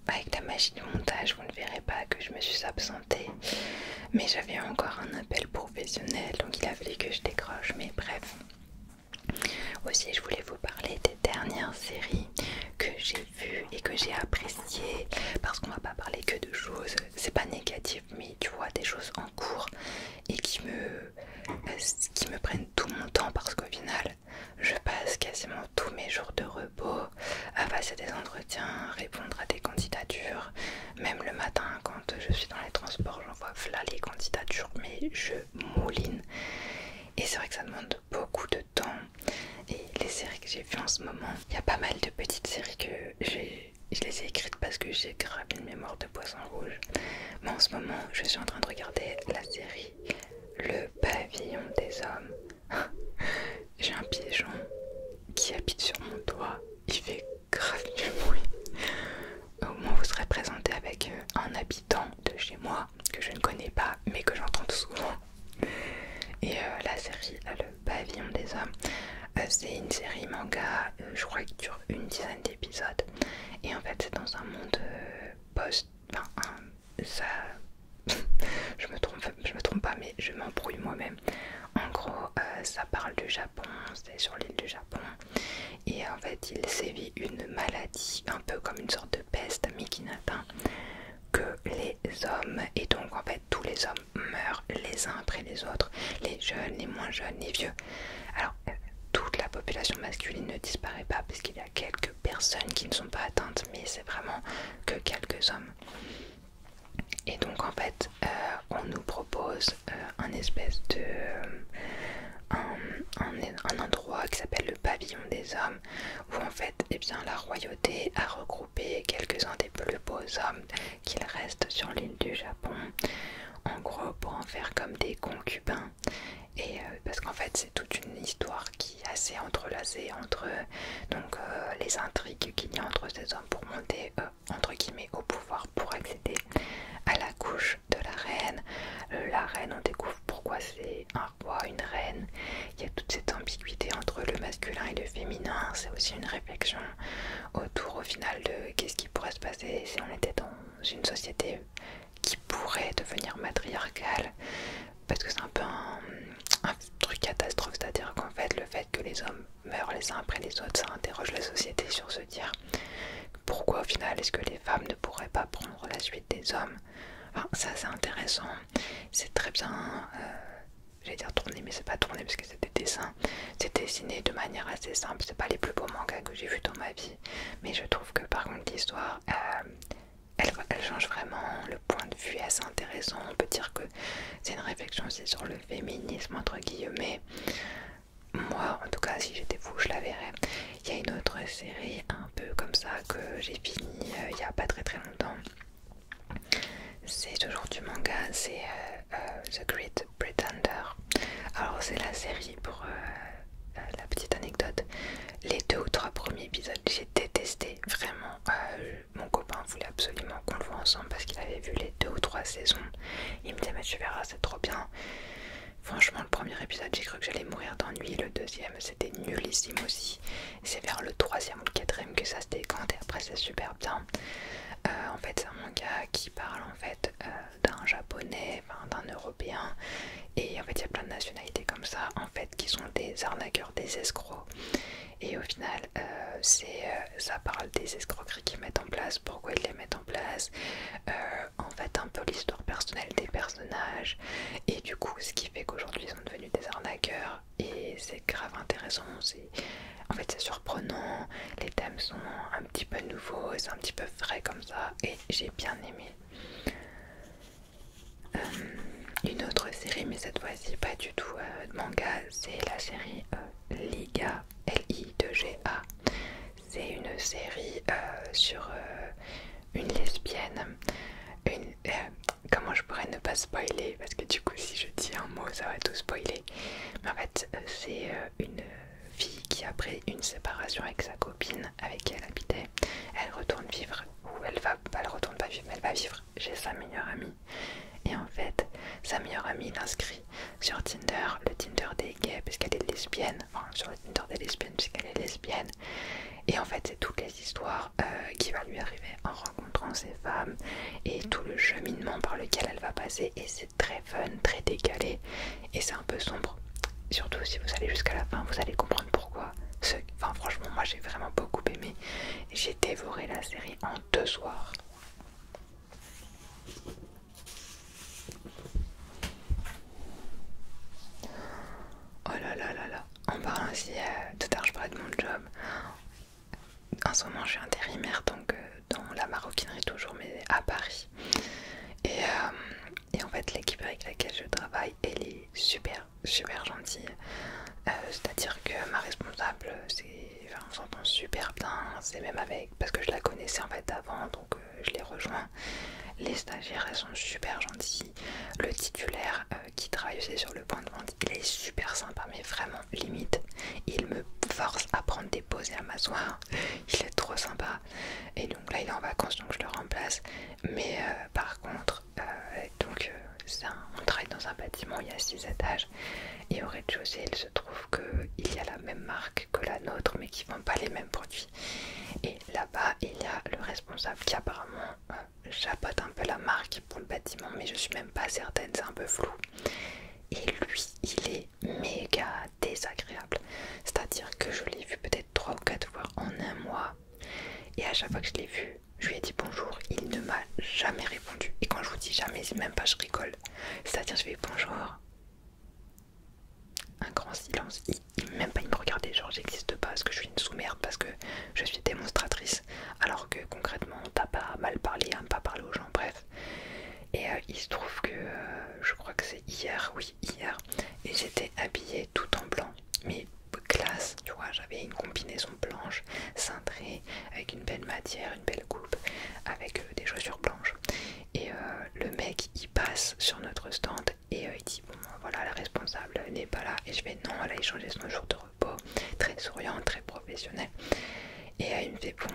Speaker 1: bah, avec la machine de montage, vous ne verrez pas que je me suis absentée. Mais j'avais encore un appel professionnel, donc il a fallu que je décroche. Mais bref, aussi, je voulais vous parler des dernières séries que j'ai vues et que j'ai appréciées parce qu'on va pas parler que de choses, c'est pas négatif, mais tu vois, des choses en cours et qui me, qui me prennent tout mon temps parce qu'au final, je passe quasiment tous mes jours de repos à passer des entretiens, répondre à des candidatures, même le matin quand je suis dans les transports, j'envoie les candidatures, mais je mouline. Et c'est vrai que ça demande beaucoup de temps. Et les séries que j'ai vues en ce moment, il y a pas mal de petites séries que j'ai. Je les ai écrites parce que j'ai grave une mémoire de poisson rouge. Mais en ce moment, je suis en train de regarder la série Le Pavillon des Hommes. j'ai un pigeon qui habite sur mon toit. Il fait grave du bruit au moins vous serez présenté avec euh, un habitant de chez moi que je ne connais pas mais que j'entends souvent. Et euh, la série euh, Le Pavillon des Hommes, c'est une série manga, je crois, qui dure une dizaine d'épisodes. Et en fait, c'est dans un monde post. Enfin, ça. je, me trompe, je me trompe pas, mais je m'embrouille moi-même. En gros, ça parle du Japon, c'est sur l'île du Japon. Et en fait, il sévit une maladie, un peu comme une sorte de peste, mais qui n'atteint que les hommes. Et donc, en fait, tous les hommes meurent les uns après les autres, les jeunes, les moins jeunes, les vieux. Alors, euh, toute la population masculine ne disparaît pas, parce qu'il y a quelques personnes qui ne sont pas atteintes, mais c'est vraiment que quelques hommes. Et donc en fait, euh, on nous propose euh, un espèce de, un, endroit qui s'appelle le pavillon des hommes, où en fait eh bien, la royauté a regroupé quelques-uns des plus beaux hommes qu'il reste sur l'île du Japon, en gros pour en faire comme des concubins. Et euh, parce qu'en fait c'est toute une histoire qui est assez entrelacée entre donc, euh, les intrigues qu'il y a entre ces hommes pour monter euh, entre guillemets au pouvoir pour accéder à la couche de la reine. Euh, la reine, on découvre pourquoi c'est un roi, une reine. Il y a toute cette ambiguïté entre le masculin et le féminin. C'est aussi une réflexion autour au final de qu'est-ce qui pourrait se passer si on était dans une société qui pourrait devenir matriarcale. Parce que c'est un peu un, truc catastrophe, c'est-à-dire qu'en fait le fait que les hommes meurent les uns après les autres, ça interroge la société sur ce dire pourquoi au final est-ce que les femmes ne pourraient pas prendre la suite des hommes enfin, ah, Ça c'est intéressant, c'est très bien, J'ai euh, j'allais dire tourné mais c'est pas tourné parce que c'est des dessins, c'est dessiné de manière assez simple, c'est pas les plus beaux mangas que j'ai vu dans ma vie, mais je trouve que par contre l'histoire... Euh, elle, elle change vraiment, le point de vue est assez intéressant, on peut dire que c'est une réflexion aussi sur le féminisme entre guillemets moi en tout cas si j'étais fou, je la verrais il y a une autre série un peu comme ça que j'ai fini euh, il n'y a pas très très longtemps c'est toujours du manga c'est euh, euh, The Great Pretender alors c'est la série pour la petite anecdote les deux ou trois premiers épisodes j'ai détesté vraiment mon copain voulait absolument qu'on le voit ensemble parce qu'il avait vu les deux ou trois saisons il me dit mais tu verras c'est trop bien Franchement, le premier épisode, j'ai cru que j'allais mourir d'ennui. Le deuxième, c'était nullissime aussi. C'est vers le troisième ou le quatrième que ça se décante après, c'est super bien. Euh, en fait, c'est un manga qui parle en fait euh, d'un japonais, d'un européen. Et en fait, il y a plein de nationalités comme ça, en fait, qui sont des arnaqueurs, des escrocs. Et au final, euh, c'est ça parle des escroqueries qu'ils mettent en place, pourquoi ils les mettent en place. Euh, en fait un peu l'histoire personnelle des personnages et du coup ce qui fait qu'aujourd'hui ils sont devenus des arnaqueurs et c'est grave intéressant, en fait c'est surprenant, les thèmes sont un petit peu nouveaux, c'est un petit peu frais comme ça et j'ai bien aimé. Euh, une autre série mais cette fois-ci pas du tout de euh, manga, c'est la série Liga l i g a c'est une série euh, sur euh, une lesbienne. Euh, comment je pourrais ne pas spoiler Parce que du coup, si je dis un mot, ça va tout spoiler. Mais en fait, c'est une fille qui, après une séparation avec sa copine avec qui elle habitait, elle retourne vivre. Ou elle va, bah, retourne pas vivre, mais elle va vivre chez sa meilleure amie. Et en fait, sa meilleure amie l'inscrit sur Tinder, le Tinder des gays puisqu'elle est lesbienne, enfin sur le Tinder des lesbiennes puisqu'elle est lesbienne. Et en fait, c'est toutes les histoires euh, qui va lui arriver en rencontrant ces femmes et tout le cheminement par lequel elle va passer. Et c'est très fun, très décalé et c'est un peu sombre. Surtout si vous allez jusqu'à la fin, vous allez comprendre pourquoi. Enfin, franchement, moi j'ai vraiment beaucoup aimé. J'ai dévoré la série en deux soirs. Oh là là là là, en parle aussi, euh, tout à l'heure je parlais de mon job. En ce moment je suis intérimaire donc euh, dans la maroquinerie toujours, mais à Paris. Euh, et, en fait l'équipe avec laquelle je travaille, elle est super, super gentille. C'est-à-dire que ma responsable, c'est... on super bien, c'est même avec... Parce que je la connaissais en fait avant, donc euh, je les rejoins. Les stagiaires, sont super gentils. Le titulaire euh, qui travaille aussi sur le point de vente, il est super sympa, mais vraiment limite. Il me force à prendre des pauses et à m'asseoir. Il est trop sympa. Et donc là, il est en vacances, donc je le remplace. Mais euh, par contre, donc on travaille dans un bâtiment, il y a 6 étages. Et au rez-de-chaussée, il se trouve qu'il y a la même marque que la nôtre, mais qui vend pas les mêmes produits et là-bas, il y a le responsable qui apparemment chapeaute euh, un peu la marque pour le bâtiment, mais je suis même pas certaine, c'est un peu flou. Et lui, il est méga désagréable. C'est-à-dire que je l'ai vu peut-être 3 ou 4 fois en un mois. Et à chaque fois que je l'ai vu, je lui ai dit bonjour, il ne m'a jamais répondu. Et quand je vous dis jamais, même pas je rigole. C'est-à-dire je lui ai dit bonjour, un grand silence. Il, même pas il me regardait, genre j'existe pas parce que je suis une sous-merde, parce que je suis démonstratrice. Alors que concrètement, t'as pas mal parlé, à ne pas parler aux gens, bref. Et euh, il se trouve que euh, je crois que c'est hier, oui, hier, et j'étais habillée tout en blanc, mais classe, tu vois, j'avais une combinaison blanche, cintrée, avec une belle matière, une belle coupe, avec euh, des chaussures blanches. Et euh, le mec il passe sur notre stand et euh, il dit Bon, voilà, la responsable n'est pas là. Et je vais Non, elle a échangé son jour de repos. Très souriant, très professionnel. Et euh, il me fait Bon,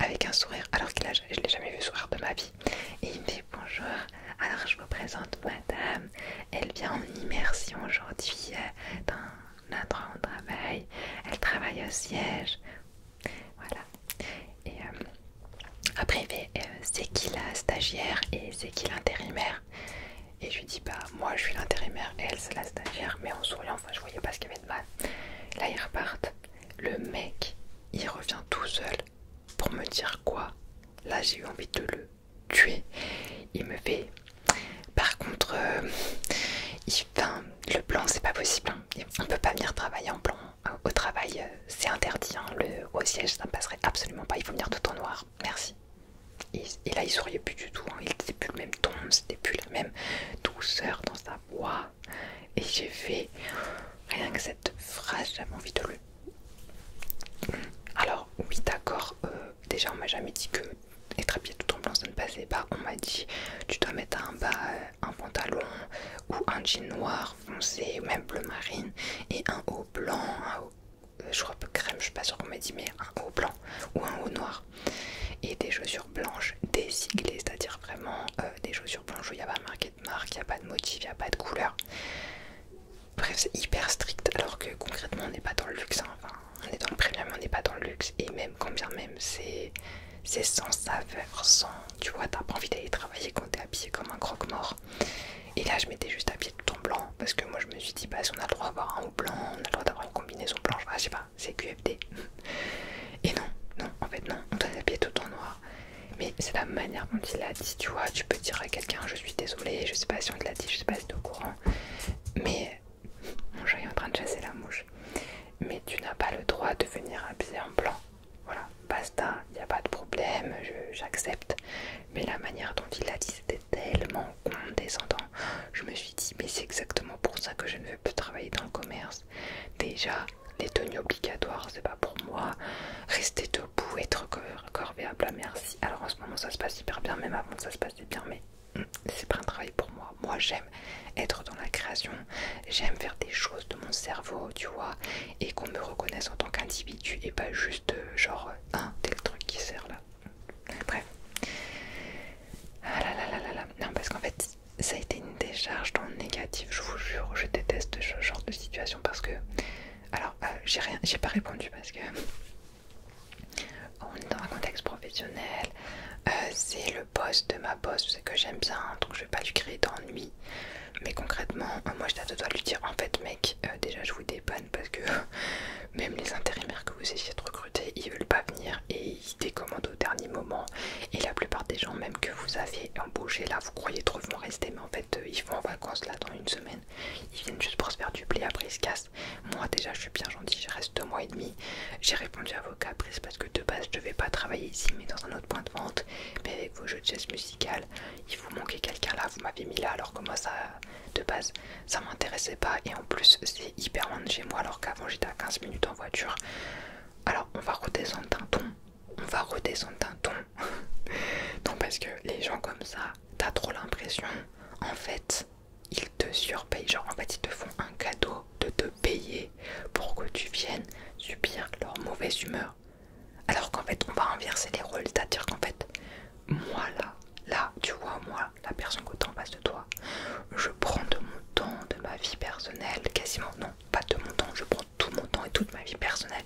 Speaker 1: avec un sourire, alors que je l'ai jamais vu sourire de ma vie. Et il me fait Bonjour, alors je vous présente madame. Elle vient en immersion aujourd'hui endroit où on travail. Elle travaille au siège. Voilà. Et euh, après, euh, c'est qui la stagiaire et c'est qui l'intérimaire Et je lui dis, bah, moi je suis l'intérimaire et elle c'est la stagiaire, mais en souriant, enfin, je voyais pas ce qu'il y avait de mal. Là, ils repartent. Le mec, il revient tout seul pour me dire quoi Là, j'ai eu envie de le tuer. Il me fait. Par contre, euh, le plan, c'est pas possible. Hein. On peut pas venir travailler en plan au travail, euh, c'est interdit. Hein. Le, au siège, ça ne passerait absolument pas. Il faut venir tout en noir. Merci. Et, là, il souriait plus du tout. Hein. Il n'était plus le même ton, c'était plus la même douceur dans sa voix. Et j'ai fait rien que cette phrase, j'avais envie de le. Alors, oui, d'accord. Euh, déjà, on m'a jamais dit que les trépieds tout blanc, ça ne passait pas. On m'a dit, tu dois mettre un bas euh, un pantalon ou un jean noir foncé, ou même bleu marine, et un haut blanc, un haut, euh, je crois peu crème, je suis pas sûre qu'on m'a dit, mais un haut blanc ou un haut noir, et des chaussures blanches désiglées, c'est-à-dire vraiment euh, des chaussures blanches où il n'y a pas marqué de marque, il n'y a pas de motif, il n'y a pas de couleur. Bref, c'est hyper strict, alors que concrètement on n'est pas dans le luxe, hein. enfin, on est dans le premium, on n'est pas dans le luxe, et même quand bien même c'est c'est sans saveur, sans. Tu vois, t'as pas envie d'aller travailler quand t'es habillé comme un croque-mort. Et là, je m'étais juste habillé tout en blanc parce que moi, je me suis dit, bah, si on a le droit d'avoir un haut blanc, on a le droit d'avoir une combinaison blanche, bah, je sais pas, c'est QFD. Et non, non, en fait, non, on doit habillé tout en noir. Mais c'est la manière dont il l'a dit, tu vois. Tu peux dire à quelqu'un, je suis désolé, je sais pas si on te l'a dit, je sais pas si t'es au courant. Mais mon chat est en train de chasser la mouche. Mais tu n'as pas le droit de venir habiller en blanc. Voilà, basta, il n'y a pas de problème, j'accepte. Mais la manière dont il a dit, c'était tellement condescendant. Je me suis dit, mais c'est exactement pour ça que je ne veux plus travailler dans le commerce. Déjà, les tenues obligatoires, c'est pas pour moi. Rester debout, être corvéable à merci. Alors en ce moment, ça se passe super bien, même avant, ça se passait bien, mais hmm, c'est pas un travail pour moi. Moi, j'aime être dans la création, j'aime faire des choses de mon cerveau, tu vois, et qu'on me reconnaisse en tant qu'individu et pas juste euh, genre un tel truc qui sert là. Bref. Ah là là là là Non, parce qu'en fait, ça a été une décharge dans le négatif, je vous jure, je déteste ce genre de situation parce que. Alors, euh, j'ai rien, j'ai pas répondu parce que. On est dans un contexte professionnel, euh, c'est le de ma boss c'est que j'aime bien donc je vais pas lui créer d'ennui mais concrètement euh, moi je dois lui dire en fait mec euh, déjà je vous dépanne parce que même les intérimaires que vous essayez de recruter ils veulent pas venir et ils décommandent au dernier moment et la plupart des gens même que vous avez embauché là vous croyez trop vont rester mais en fait euh, ils vont en vacances là dans une semaine ils viennent juste pour se faire du blé après ils se cassent moi déjà je suis bien gentil je reste deux mois et demi j'ai répondu à vos caprices parce que de base je ne devais pas travailler ici mais dans un autre point de vente. Mais avec vos jeux de jazz musical, il vous manquait quelqu'un là, vous m'avez mis là alors que moi ça de base ça m'intéressait pas et en plus c'est hyper loin de chez moi alors qu'avant j'étais à 15 minutes en voiture. Alors on va redescendre d'un ton, on va redescendre d'un ton. non parce que les gens comme ça, t'as trop l'impression en fait ils te surpayent, genre en fait ils te font un cadeau de te payer pour que tu viennes subir leur mauvaise humeur. Alors qu'en fait, on va inverser les rôles, c'est-à-dire qu'en fait, moi là, là, tu vois, moi, la personne que en face de toi, je prends de mon temps, de ma vie personnelle, quasiment, non, pas de mon temps, je prends tout mon temps et toute ma vie personnelle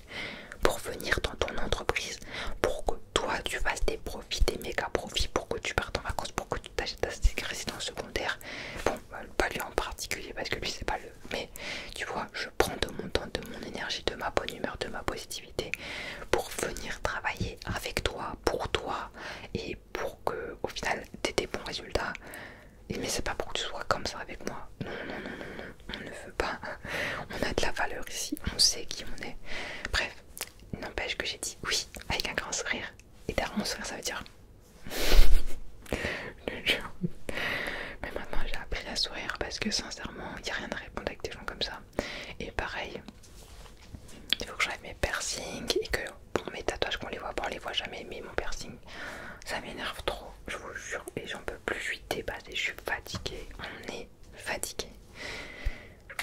Speaker 1: pour venir dans ton entreprise, pour que toi tu fasses des profits, des méga profits, pour que tu partes en vacances, pour que tu t'achètes ta résidence secondaire. Bon, bah, pas lui en particulier parce que lui c'est pas mais tu vois, je prends de mon temps, de mon énergie, de ma bonne humeur, de ma positivité pour venir travailler avec toi, pour toi et pour que au final tu aies des bons résultats. Mais c'est pas pour que tu sois comme ça avec moi. Non, non, non, non, on ne veut pas. On a de la valeur ici, on sait qui on est. Bref, n'empêche que j'ai dit oui avec un grand sourire. Et d'un grand sourire, ça veut dire Mais maintenant j'ai appris à sourire parce que sincèrement, il n'y a rien à répondre avec des gens comme ça. Et pareil, il faut que j'enlève mes piercings et que pour mes tatouages qu'on les voit pas, on les voit jamais. Mais mon piercing, ça m'énerve trop, je vous jure. Et j'en peux plus, je suis dépassée, je suis fatiguée. On est fatiguée.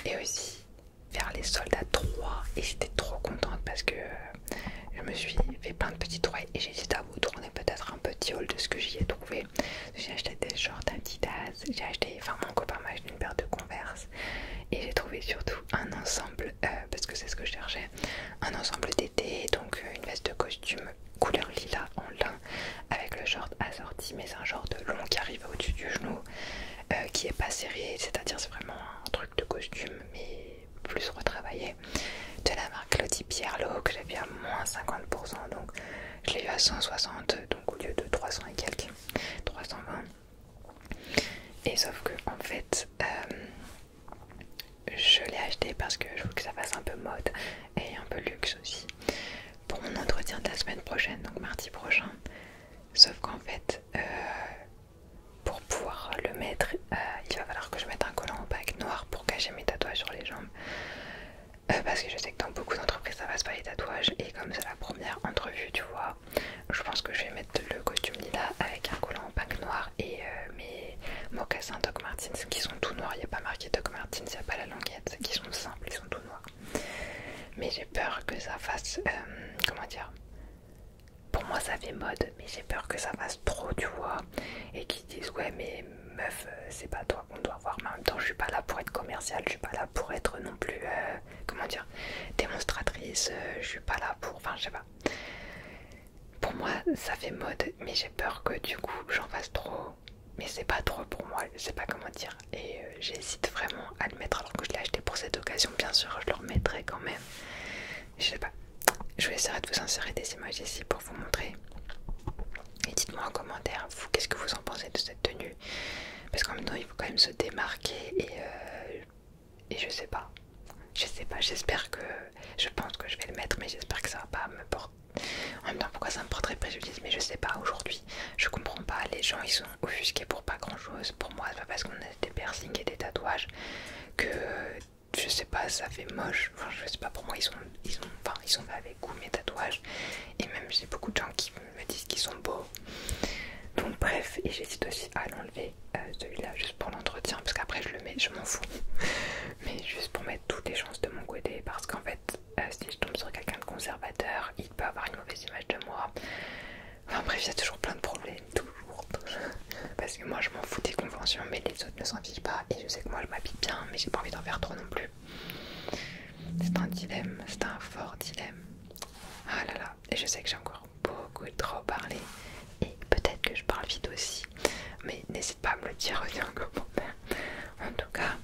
Speaker 1: Et aussi, faire les soldats 3 et j'étais trop contente parce que euh, je me suis fait plein de petites trouvailles et j'ai hésité à vous tourner peut-être un petit haul de ce que j'y ai trouvé. J'ai acheté des shorts Adidas, j'ai acheté, enfin mon copain m'a acheté une paire de Converse et j'ai trouvé surtout un ensemble, euh, parce que c'est ce que je cherchais, un ensemble d'été, donc euh, une veste de costume couleur lilas en lin avec le short assorti mais un de long qui arrive au-dessus du genou euh, qui est pas serré c'est à dire c'est vraiment un truc de costume mais plus retravaillé de la marque Pierre Pierlot que j'avais à moins 50% donc je l'ai eu à 160 donc au lieu de 300 et quelques 320 et sauf que en fait euh, je l'ai acheté parce que je voulais que ça fasse un peu mode et un peu luxe aussi pour mon entretien de la semaine prochaine donc mardi prochain sauf qu'en fait euh, pour pouvoir le mettre, euh, il va falloir que je mette un collant en opaque noir pour cacher mes tatouages sur les jambes. Euh, parce que je sais que dans beaucoup d'entreprises ça passe pas les tatouages et comme c'est la première entrevue tu vois je pense que je vais mettre le costume lila avec un collant en opaque noir et euh, mes mocassins Doc Martens qui sont tout noirs, il n'y a pas marqué Doc Martens, il n'y a pas la languette, qui sont simples, ils sont tout noirs mais j'ai peur que ça fasse, comment dire, pour moi, ça fait mode, mais j'ai peur que ça fasse trop, tu vois. Et qu'ils disent, ouais, mais meuf, euh, c'est pas toi qu'on doit voir. Mais en même temps, je suis pas là pour être commerciale, je suis pas là pour être non plus, euh, comment dire, démonstratrice, euh, je suis pas là pour. Enfin, je sais pas. Pour moi, ça fait mode, mais j'ai peur que du coup, j'en fasse trop. Mais c'est pas trop pour moi, je sais pas comment dire. Et j'hésite vraiment à le mettre alors que je l'ai acheté pour cette occasion, bien sûr, je le remettrai quand même. Je sais pas, je vais essayer de vous insérer des images ici pour vous montrer. Et dites-moi en commentaire, vous, qu'est-ce que vous en pensez de cette tenue Parce qu'en même temps, il faut quand même se démarquer et, euh, et je sais pas. Je sais pas, j'espère que... Je pense que je vais le mettre, mais j'espère que ça va pas me porter... En même temps, pourquoi ça me porterait préjudice Mais je sais pas, aujourd'hui, je comprends pas. Les gens, ils sont offusqués pour pas grand-chose. Pour moi, c'est pas parce qu'on a des piercings et des tatouages que je sais pas, ça fait moche. Enfin, je sais pas, pour moi, ils sont, ils ont, enfin, ils sont pas avec goût mes tatouages. Et même, j'ai beaucoup de gens qui me disent qu'ils sont beaux. Donc, bref, et j'hésite aussi à l'enlever euh, celui-là juste pour l'entretien, parce qu'après, je le mets, je m'en fous. Mais juste pour mettre toutes les chances de mon côté, parce qu'en fait, euh, si je tombe sur quelqu'un de conservateur, il peut avoir une mauvaise image de moi. Enfin, bref, il y a toujours plein de problèmes toujours. Parce que moi je m'en fous des conventions, mais les autres ne s'en fichent pas. Et je sais que moi je m'habille bien, mais j'ai pas envie d'en faire trop non plus. C'est un dilemme, c'est un fort dilemme. Ah là là, et je sais que j'ai encore beaucoup trop parlé. Et peut-être que je parle vite aussi. Mais n'hésite pas à me le dire en commentaire. En tout cas,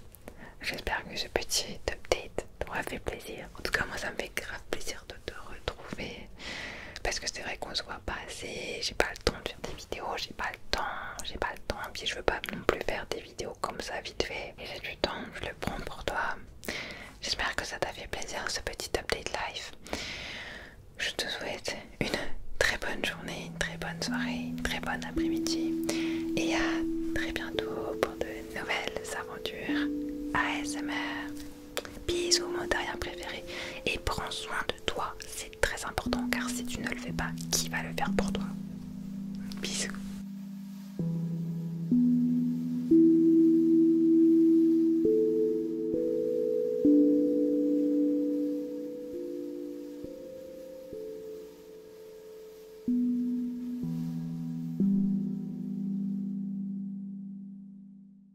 Speaker 1: j'espère que ce petit update t'aura fait plaisir. En tout cas, moi ça me fait grave plaisir de te retrouver. Parce que c'est vrai qu'on se voit passer, pas assez, j'ai pas le temps de faire des vidéos, j'ai pas le temps, j'ai pas le temps, puis je veux pas non plus faire des vidéos comme ça vite fait. Et j'ai du temps, je le prends pour toi. J'espère que ça t'a fait plaisir ce petit update life. Je te souhaite une très bonne journée, une très bonne soirée, une très bonne après-midi et à très bientôt pour de nouvelles aventures ASMR bisous mon derrière préféré et prends soin de toi c'est très important car si tu ne le fais pas qui va le faire pour toi bisous